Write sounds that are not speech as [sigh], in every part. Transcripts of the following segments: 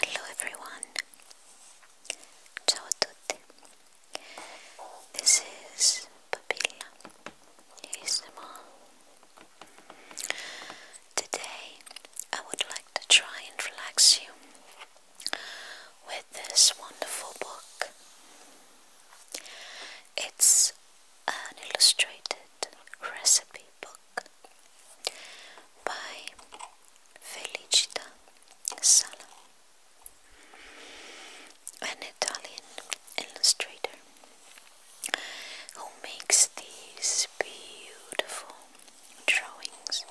Hello everyone. Ciao a tutti. This is Papilla ASMR. Today I would like to try and relax you with this wonderful book. It's an illustrated recipe book by Felicita Sala, an Italian illustrator who makes these beautiful drawings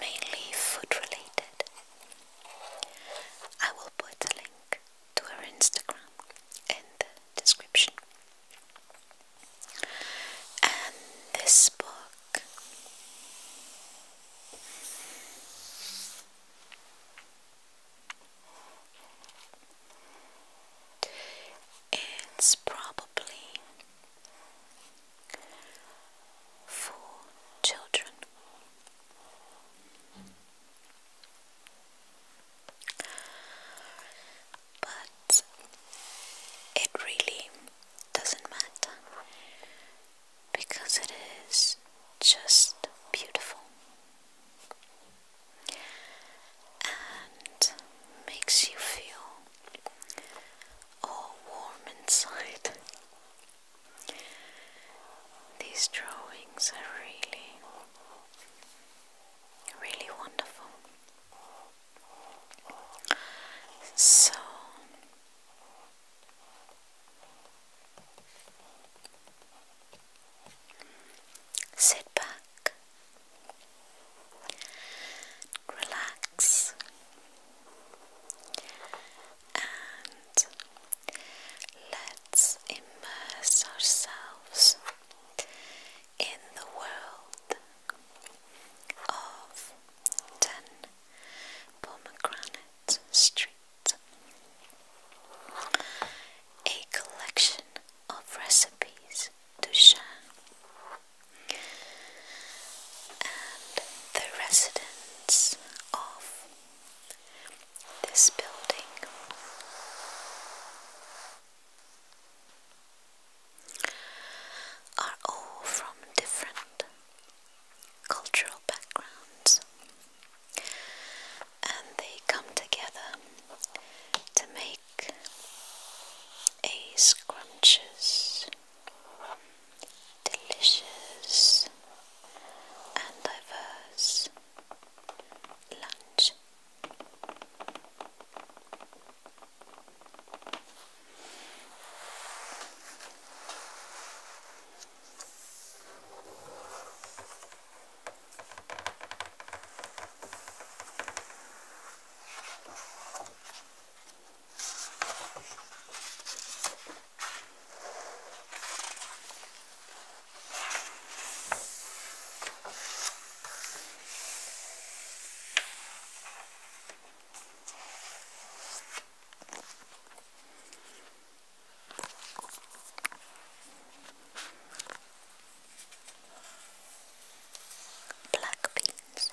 mainly food related. I will put a link to her Instagram in the description. And this book it's probably Four children. But it really doesn't matter because it is just beautiful and makes you feel all warm inside. These drawings are really, really wonderful. So, sit back, relax, and let's immerse ourselves in the world of 10 Pomegranate Street, a collection of recipes to share and the residents of this building. Are all from different cultural backgrounds and they come together to make a scrumptious delicious and diverse lunch. Black beans.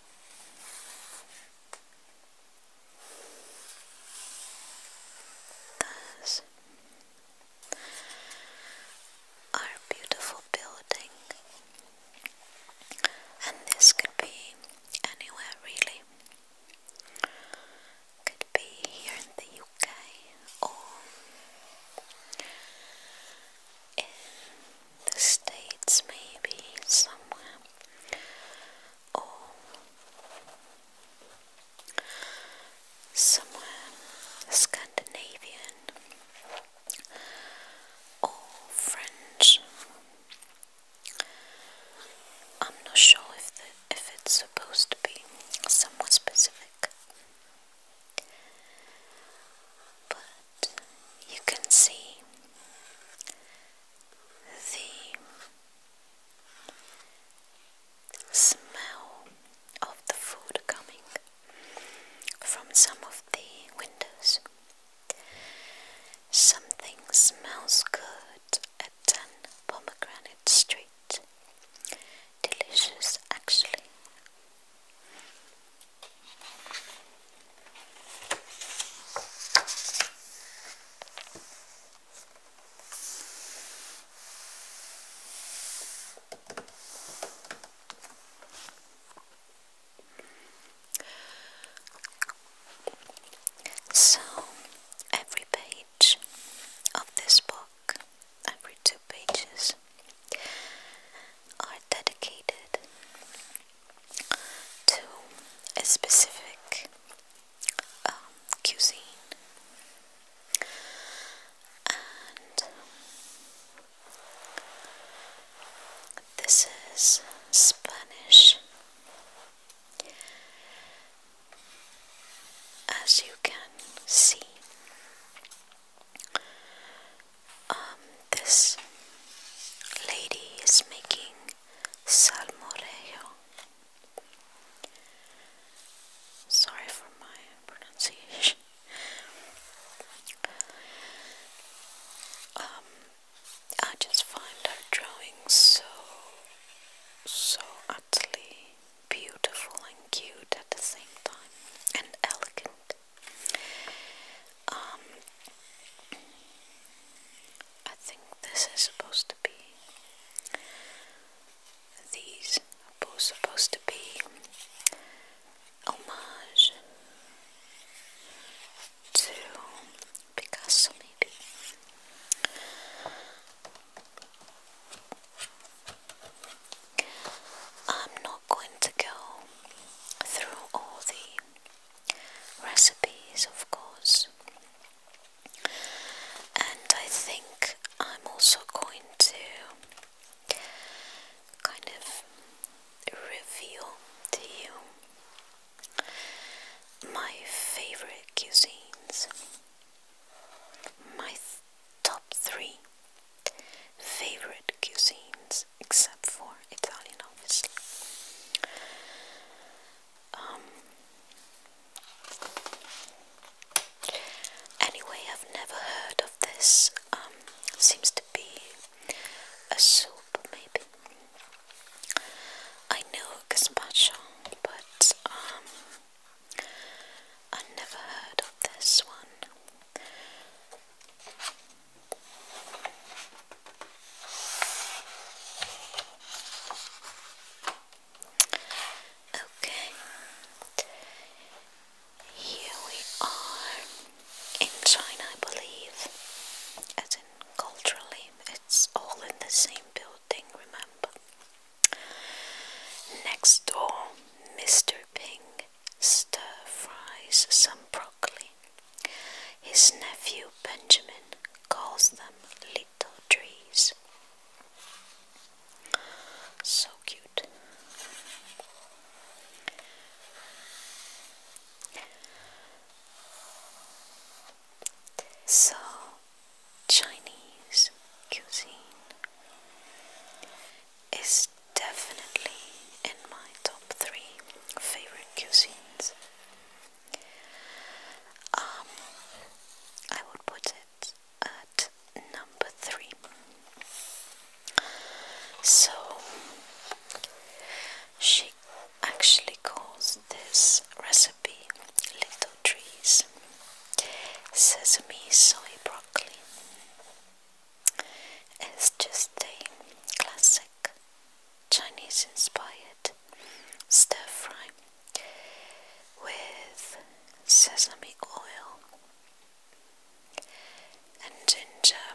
Thus, our beautiful building, and this could be anywhere really. Could be here in the UK or the States, maybe somewhere, or somewhere Scandinavian or French. I'm not sure if if it's supposed to be somewhat specific, but you can see the smell of the food coming from some of the windows. Something smells good at 10 Pomegranate Street. Delicious, actually. So, every page of this book, every two pages, are dedicated to a specific um, cuisine and this is Spanish as you can see um, this lady is making salmorejo. Sorry for my pronunciation. Um, I just find her drawing so, so utterly beautiful and cute at the same time, and elegant. Um, I think this is supposed to be. These are both supposed to be homage to Picasso, maybe. I'm not going to go through all the recipes, of course. And I think I'm also going to kind of reveal to you my favorite cuisines, my top three favorite cuisines except for Italian, obviously. Um, anyway, I've never heard of this. Um, seems to be a soup, maybe. I know gazpacho, but um, I never heard of this one. Okay, here we are in China, I believe, as in culturally, it's all in the same building, remember? Next door, Mr. Ping stir fries some. Pro his nephew Benjamin calls them little trees. So cute. So, Chinese cuisine is definitely in my top three favorite cuisines. Um, I would put it at number three. So she actually calls this recipe Little Trees Sesame Soy Broccoli. It's just a classic Chinese inspired stir fry with sesame oil and ginger,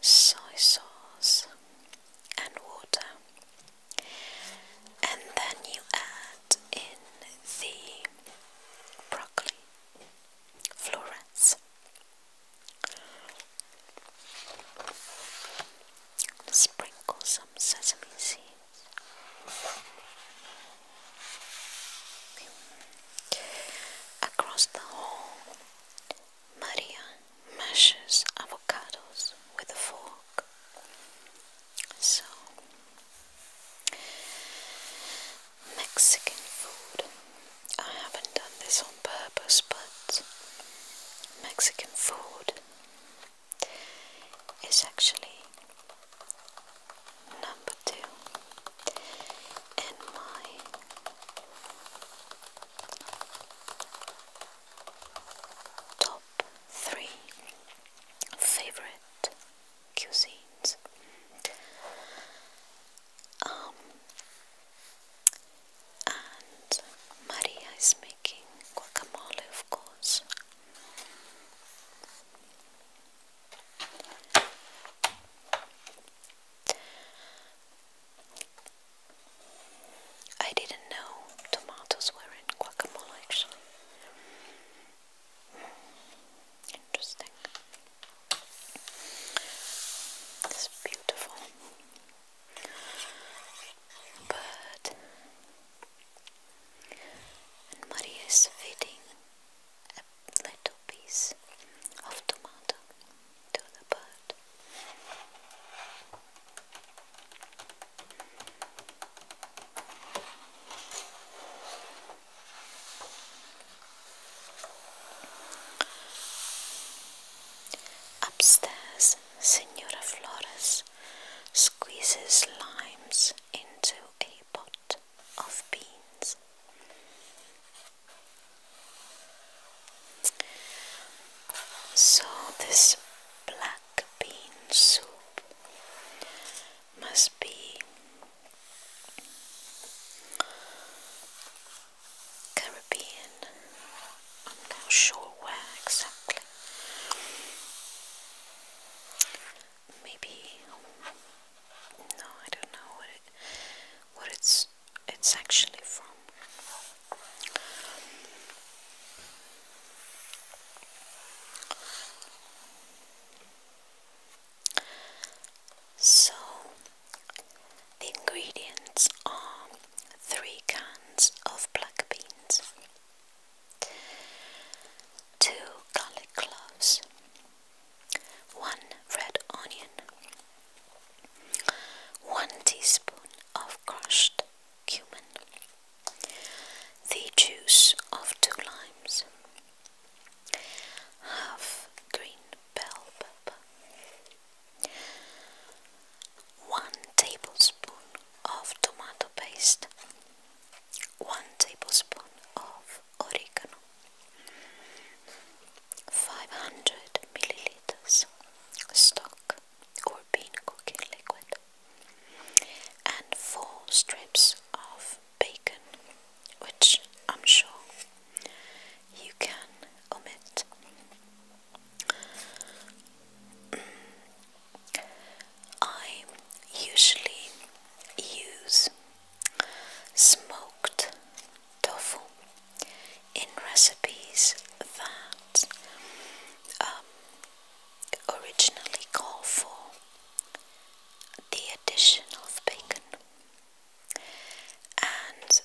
soy sauce, and water, and then you add in the broccoli. Florence. Sprinkle some sesame seeds. Across the hall, Maria mashes avocados with a fork. So Mexican food. I haven't done this on purpose, but Mexican food is actually number two in my top three favorite cuisines. Um, and Maria is making guacamole, of course. I didn't know tomatoes were in guacamole actually. Interesting. It's beautiful. But and is feeding a little piece of tomato to the bird. Upstairs, Senora Flores squeezes limes into a pot of beans. So, this black bean soup must be Caribbean. I'm not sure where exactly. Maybe no, I don't know what what it's it's actually from. So, the ingredients are three cans of black beans, two garlic cloves, one red onion, one teaspoon of crushed cumin, the juice of two limes, half green bell pepper, one tablespoon of tomato paste, one tablespoon of oregano, 500 milliliters stock or bean cooking liquid, and four strips of bacon, which I'm sure you can omit. I usually use smoked tofu in recipes that um, originally call for the addition of bacon and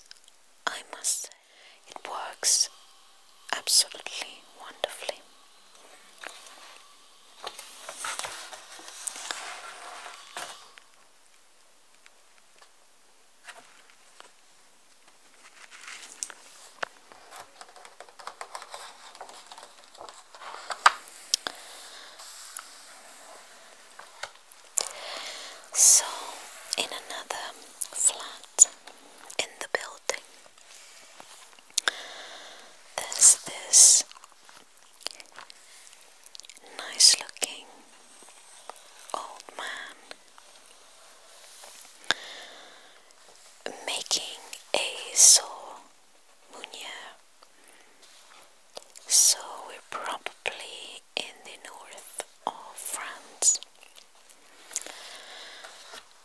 I must say it works absolutely wonderfully. So, in another flat in the building, there's this nice looking old man making a saw Munya. So we're probably in the north of France.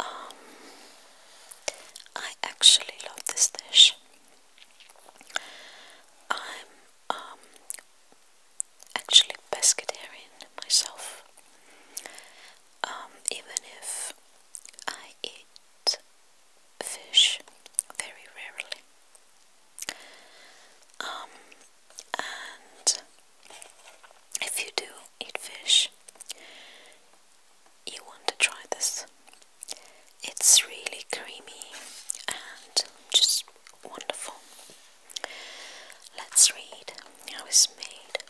Um, I actually love this dish. I'm um, actually pescatarian myself. Um, even if I eat fish very rarely. Um, and if you do eat fish, you want to try this. It's really creamy and just wonderful. Let's read how it's made.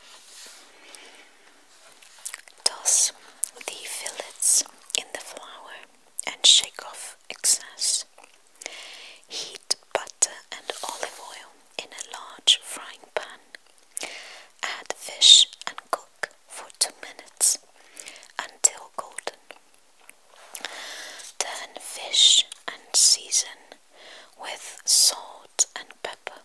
Toss the fillets in the flour and shake off excess. Heat butter and olive oil in a large frying pan. Add fish and cook for 2 minutes until golden. Then fish and season with salt and pepper.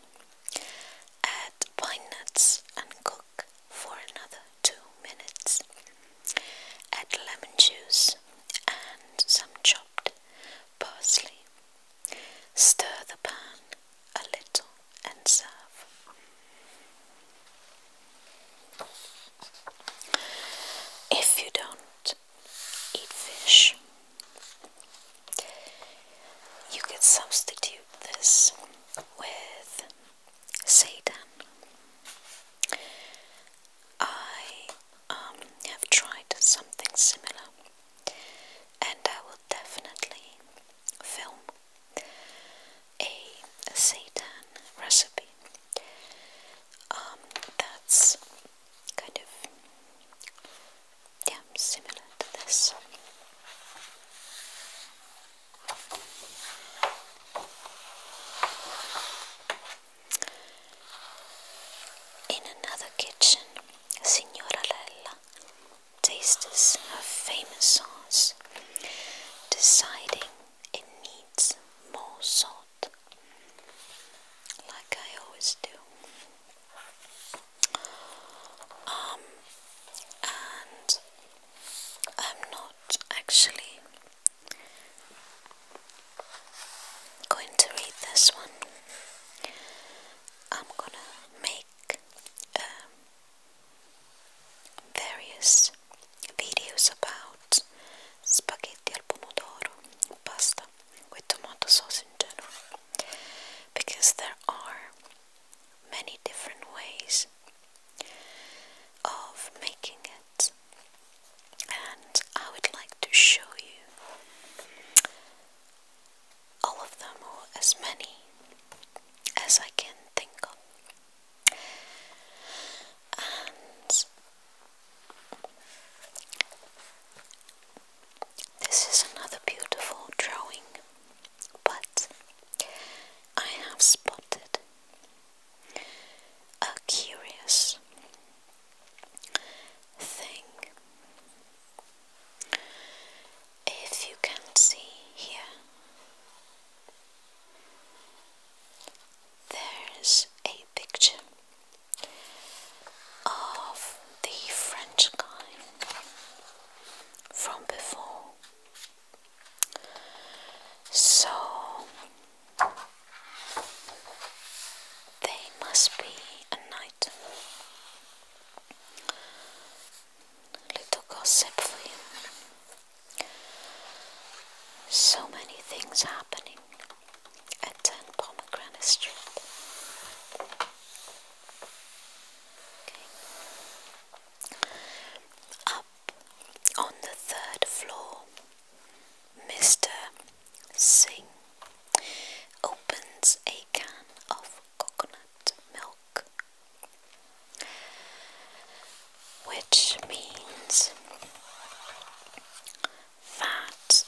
Add pine nuts and cook for another two minutes. Add lemon juice and some chopped parsley. Stir the pan a little and serve. If you don't eat fish, you can substitute this with Satan. I um, have tried something similar, and I will definitely film a Satan recipe. Um, that's kind of yeah, similar to this. In another kitchen, Signora Lella tastes a famous sauce, deciding it needs more salt, like I always do. Um, and I'm not actually I'm going to read this one. I'm gonna make um, various videos about spaghetti al pomodoro, pasta with tomato sauce in general, because there are many different ways of making it, and I would like to show you all of them, or as many as I can think of. And this is another beautiful drawing, but I have spotted a curious thing. If you can see here, there's a picture of the French guy from before. So they must be a knight. Little gossip for you. So many things happening at 10 Pomegranate Street. Okay. I um, on the third floor. Mr. Singh opens a can of coconut milk, which means that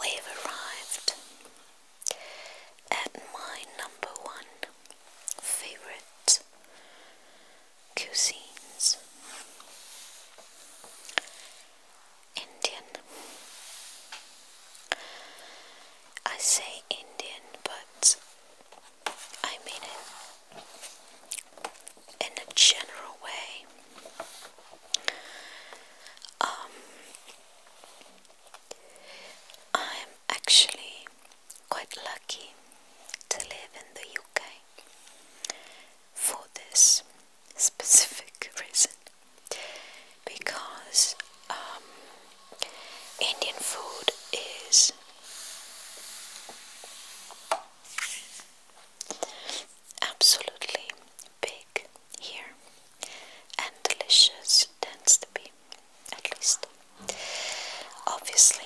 we've arrived at my number one favorite cuisines. Indian. I say Indian, but I mean it in a general way. Um, I'm actually quite lucky to live in the UK for this specific [laughs] reason because um, Indian food is absolutely big here and delicious tends to be at least obviously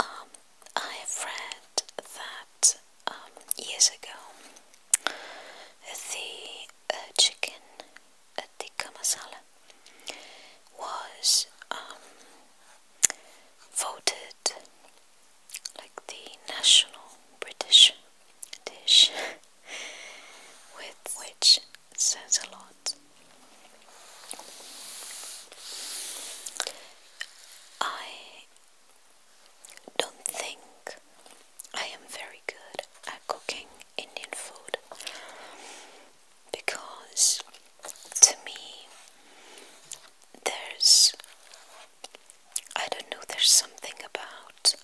um, I have read that um, years ago the uh, chicken at uh, the Kamasala was um, voted like the national British dish, [laughs] with which says a lot. I don't think I am very good at cooking Indian food because to me there's I don't know there's something about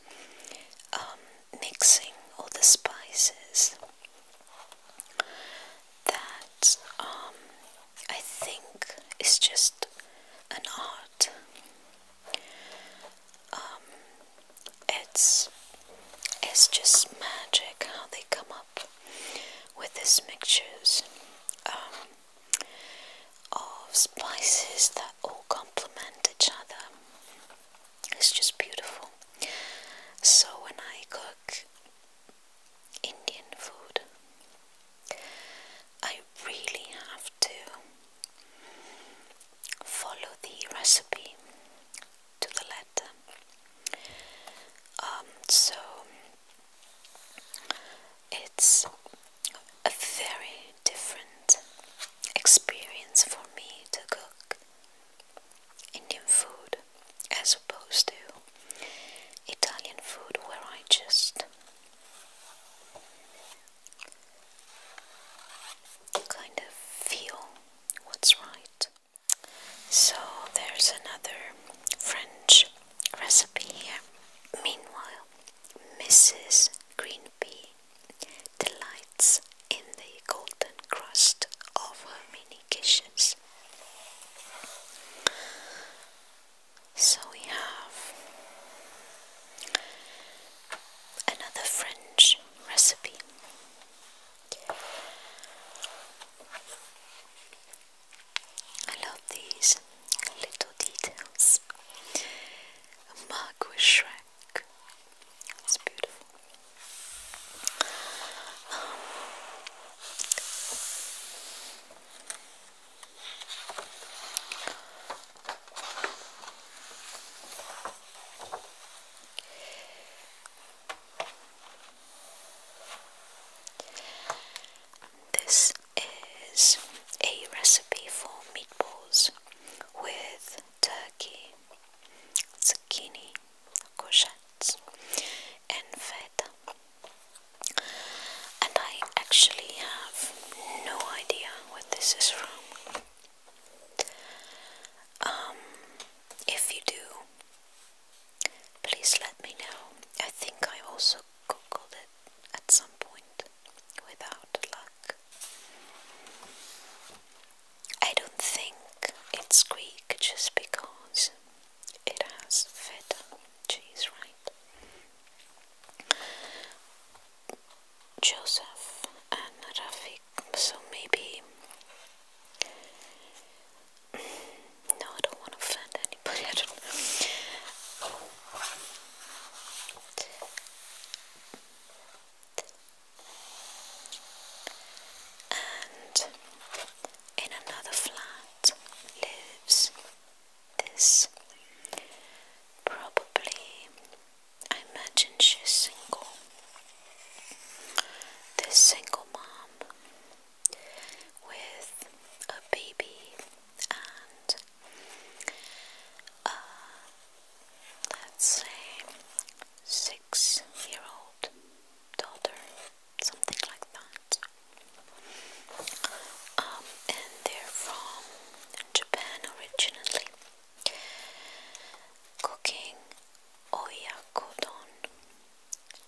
um, mixing all the spices that um, I think is just an art. Um, it's it's just magic how they come up with these mixtures um, of spices that all complement each other. It's just beautiful. So when I cook Indian food. I really have to follow the recipe to the letter. Um, so it's a very different experience for me to cook Indian food as opposed to Italian food, where I just kind of feel what's right. So there's another French recipe here. Meanwhile, Mrs. Greenbee delights in the golden crust of her mini dishes. So we have another French recipe. I love these little details. A mug with Shrek. It's beautiful this is a recipe for meatballs with turkey, zucchini, courgettes, and fat. And I actually have no idea what this is from. Um, if you do, please let me know. I think I also googled it at some point without luck. I don't think it's Greek just because it has feta cheese, right? Joseph and Rafik, so maybe. No, I don't want to offend anybody. And in another flat lives this. Probably, I imagine she's single. This single mom with a baby and a uh, let's six year old daughter something like that. Um, and they're from Japan originally. Cooking oyakodon,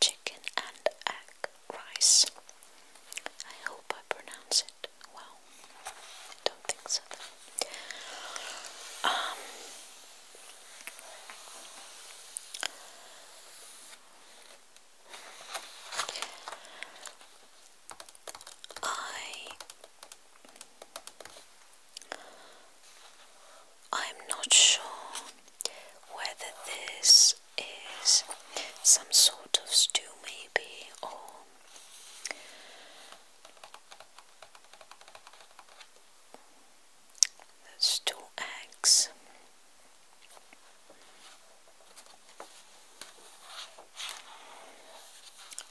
chicken and egg rice. I hope I pronounce it well. I don't think so. I I'm not sure whether this is some sort of stew maybe or that's two eggs.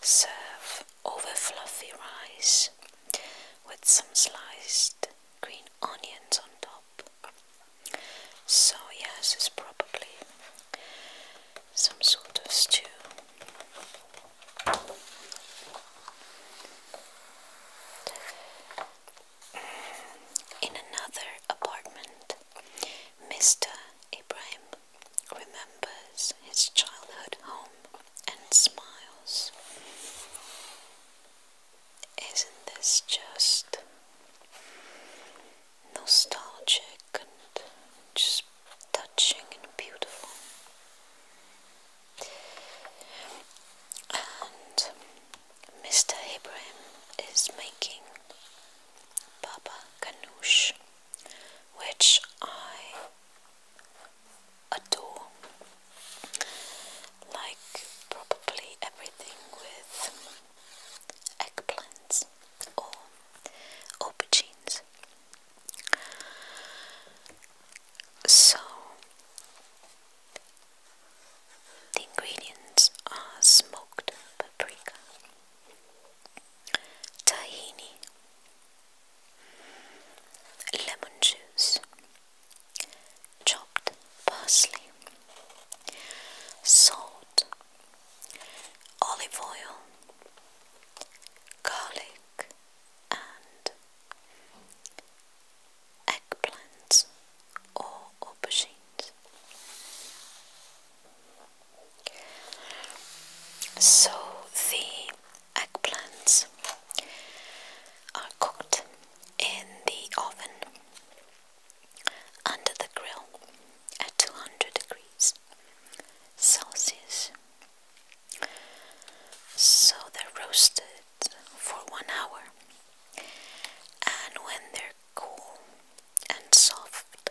Serve over fluffy rice with some sliced green onions on top. So, yes, it's probably some sort of stew. In another apartment, Mr. Ibrahim remembers his childhood home and smiles. Isn't this just nostalgic and just touching and beautiful? Mr. Ibrahim is making Baba Kanouche, which I adore. Like probably everything with eggplants or aubergines. So the ingredients are smoked paprika, tahini, lemon juice, chopped parsley, salt, olive oil, garlic, and eggplants or aubergines. So the eggplants are cooked in the oven under the grill at 200 degrees Celsius. So they're roasted for one hour, and when they're cool and soft,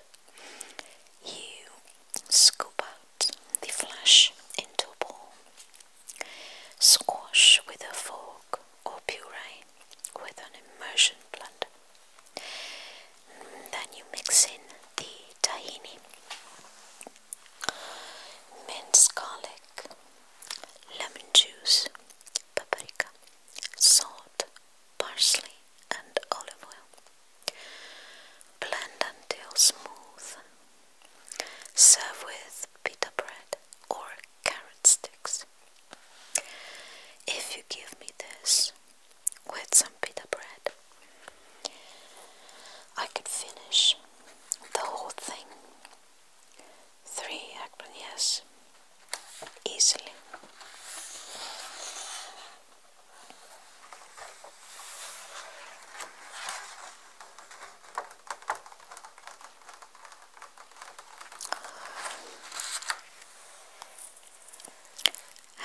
you scoop out the flesh into a bowl, squash with a fork or puree with an immersion blender. Then you mix in the tahini, minced garlic, lemon juice, paprika, salt, parsley, and olive oil. Blend until smooth. Serve with pita bread or carrot sticks. If you give me this with some pita bread, I could finish the whole thing three acronyms easily.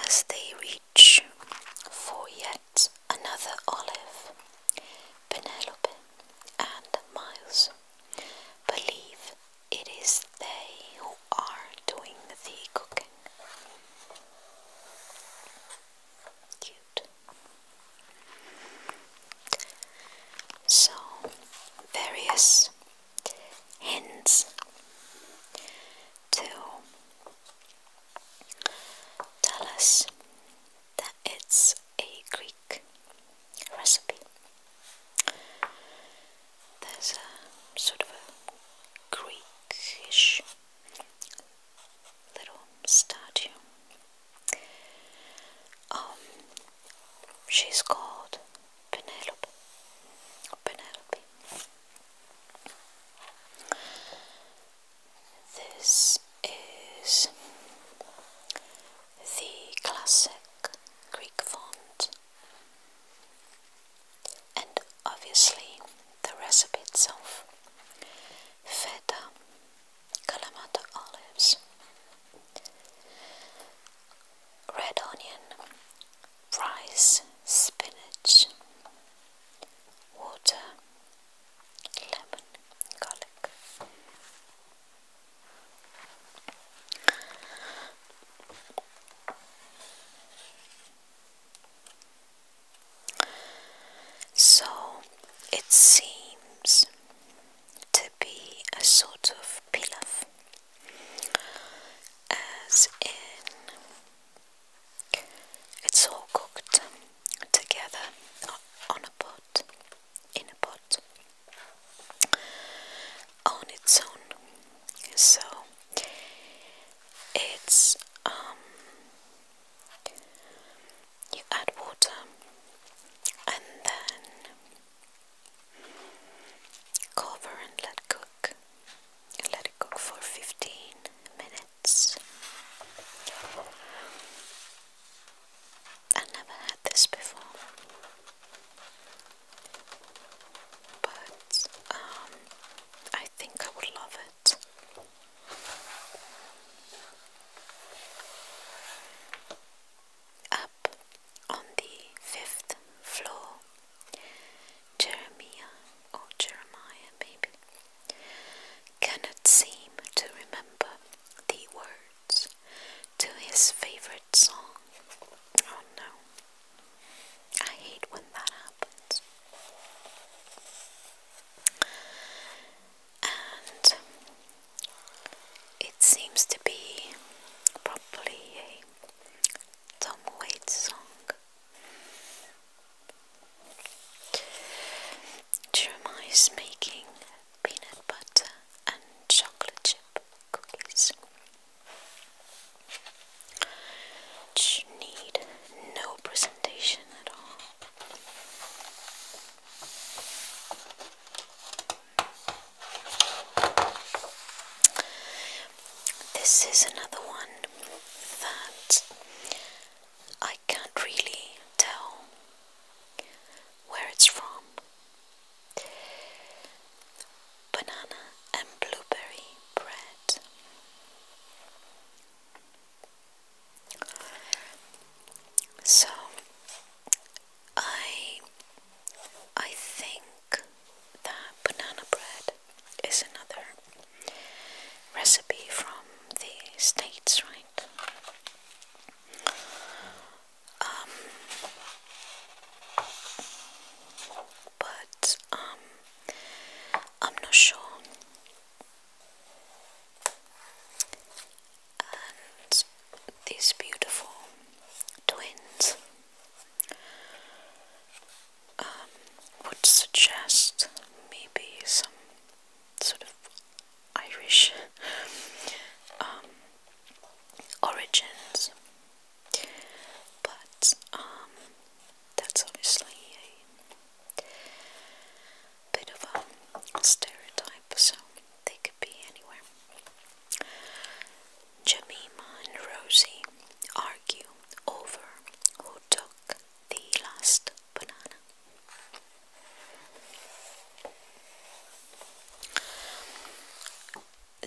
As they reach for yet another olive, Penelope and Miles believe it is they who are doing the cooking. Cute. So, various hints to tell us that it's a Greek recipe. There's a sort of a Greekish little statue. Um, she's called Penelope. Penelope. This is the classic Greek font, and obviously the recipe itself feta, kalamata olives, red onion, rice, spinach, water, lemon, garlic. So it seems to be a sort of pilaf, as in it's all cooked together on a pot in a pot on its own. So it's um you add water and then cover and let cook. Let it cook for 15 minutes. I never had this before, but um, I think I would love it. Up on the fifth floor, Jeremiah or Jeremiah, maybe, cannot seem to remember the word to his favorite song. Oh no. I hate when that happens. And it seems to be probably a Tom Waits song. Jeremiah is making peanut butter and chocolate chip cookies. need no presentation at all. This is another one that I can't really tell where it's from. Banana and blueberry bread. So I I think that banana bread is another recipe from the States, right? Um, but um, I'm not sure. And these beautiful twins um, would suggest maybe some sort of Irish um, origins, but um, that's obviously a bit of a stereotype, so they could be anywhere. Jemima and Rosie argue over who took the last banana.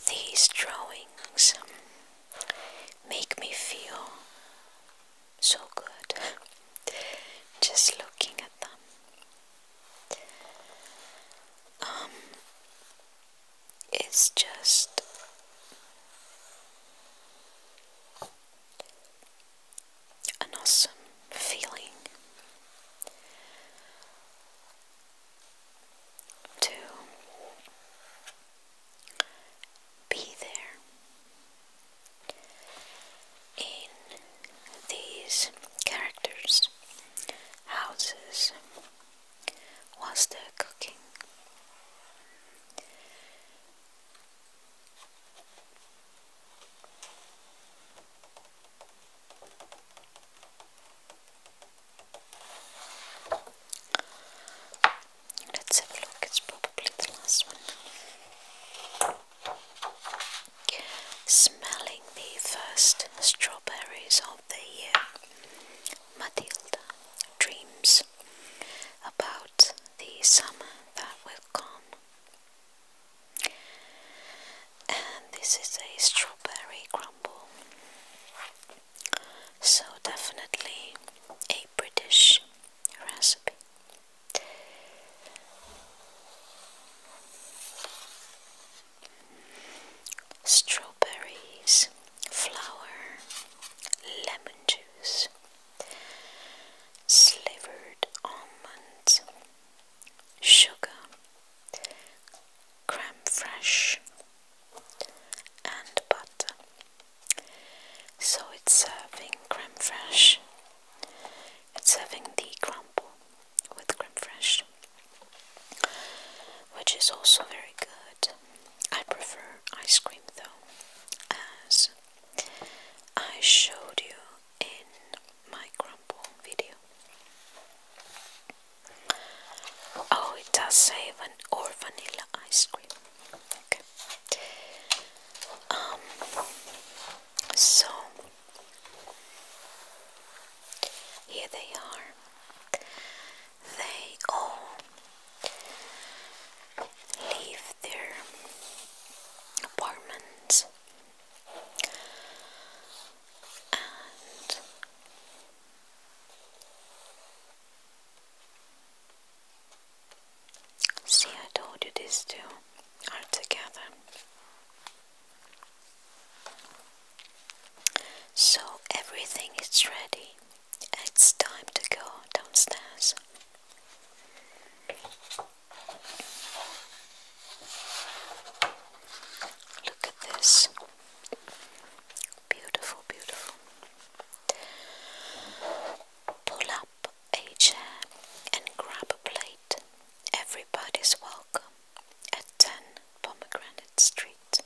These drawings make me feel so good just looking at them. Um, it's just an awesome feeling to be there in these characters' houses was the cooking. Let's have a look, it's probably the last one. Smelling the first strawberries of the year, Matilda dreams about the summer that will come and this is a strawberry crumble. So, definitely a British recipe. Strawberries, flour, lemon juice, slivered almonds, sugar, creme fraiche, and butter. So it's serving creme fraiche, it's serving the crumble with creme fraiche, which is also very good. I prefer ice cream though, as I showed you in my crumble video. Oh, it does say van or vanilla ice cream. Okay. Um. So here they are. They all leave their apartments see I told you these two are together so everything is ready it's time to go downstairs Look at this. Beautiful, beautiful. Pull up a chair and grab a plate. Everybody's welcome at 10 Pomegranate Street.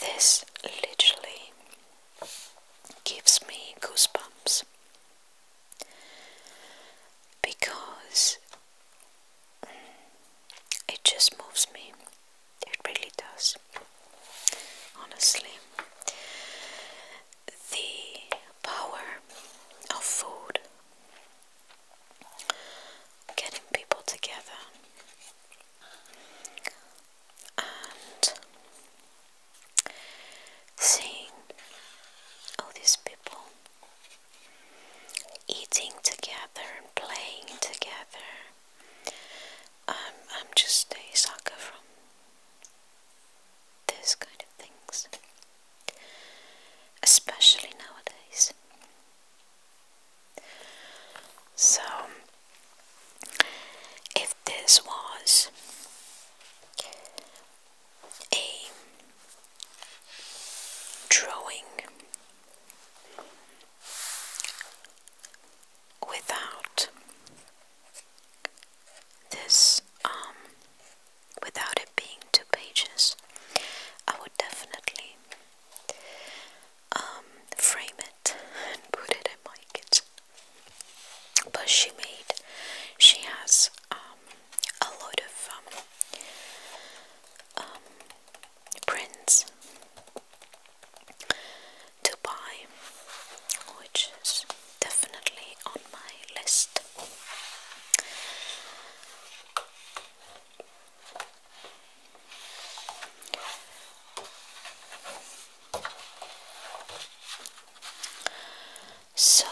This literally gives me goosebumps because it just moves me. It really does. Honestly, the power of food getting people together and seeing all these people eating together and playing together. Um, I'm, just a sucker from these kind of things, especially nowadays. So, if this was a drawing without this um, without it being two pages I would definitely um, frame it and put it in my kitchen but she made she has um, a lot of um, um, prints to buy which is definitely on my list so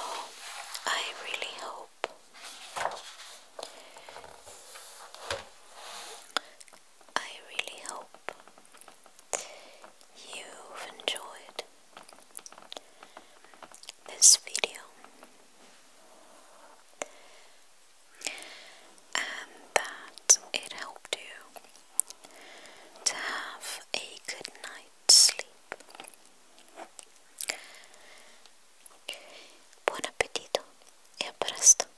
I really hope I really hope you've enjoyed this video and that it helped you to have a good night. sleep buon appetito e a presto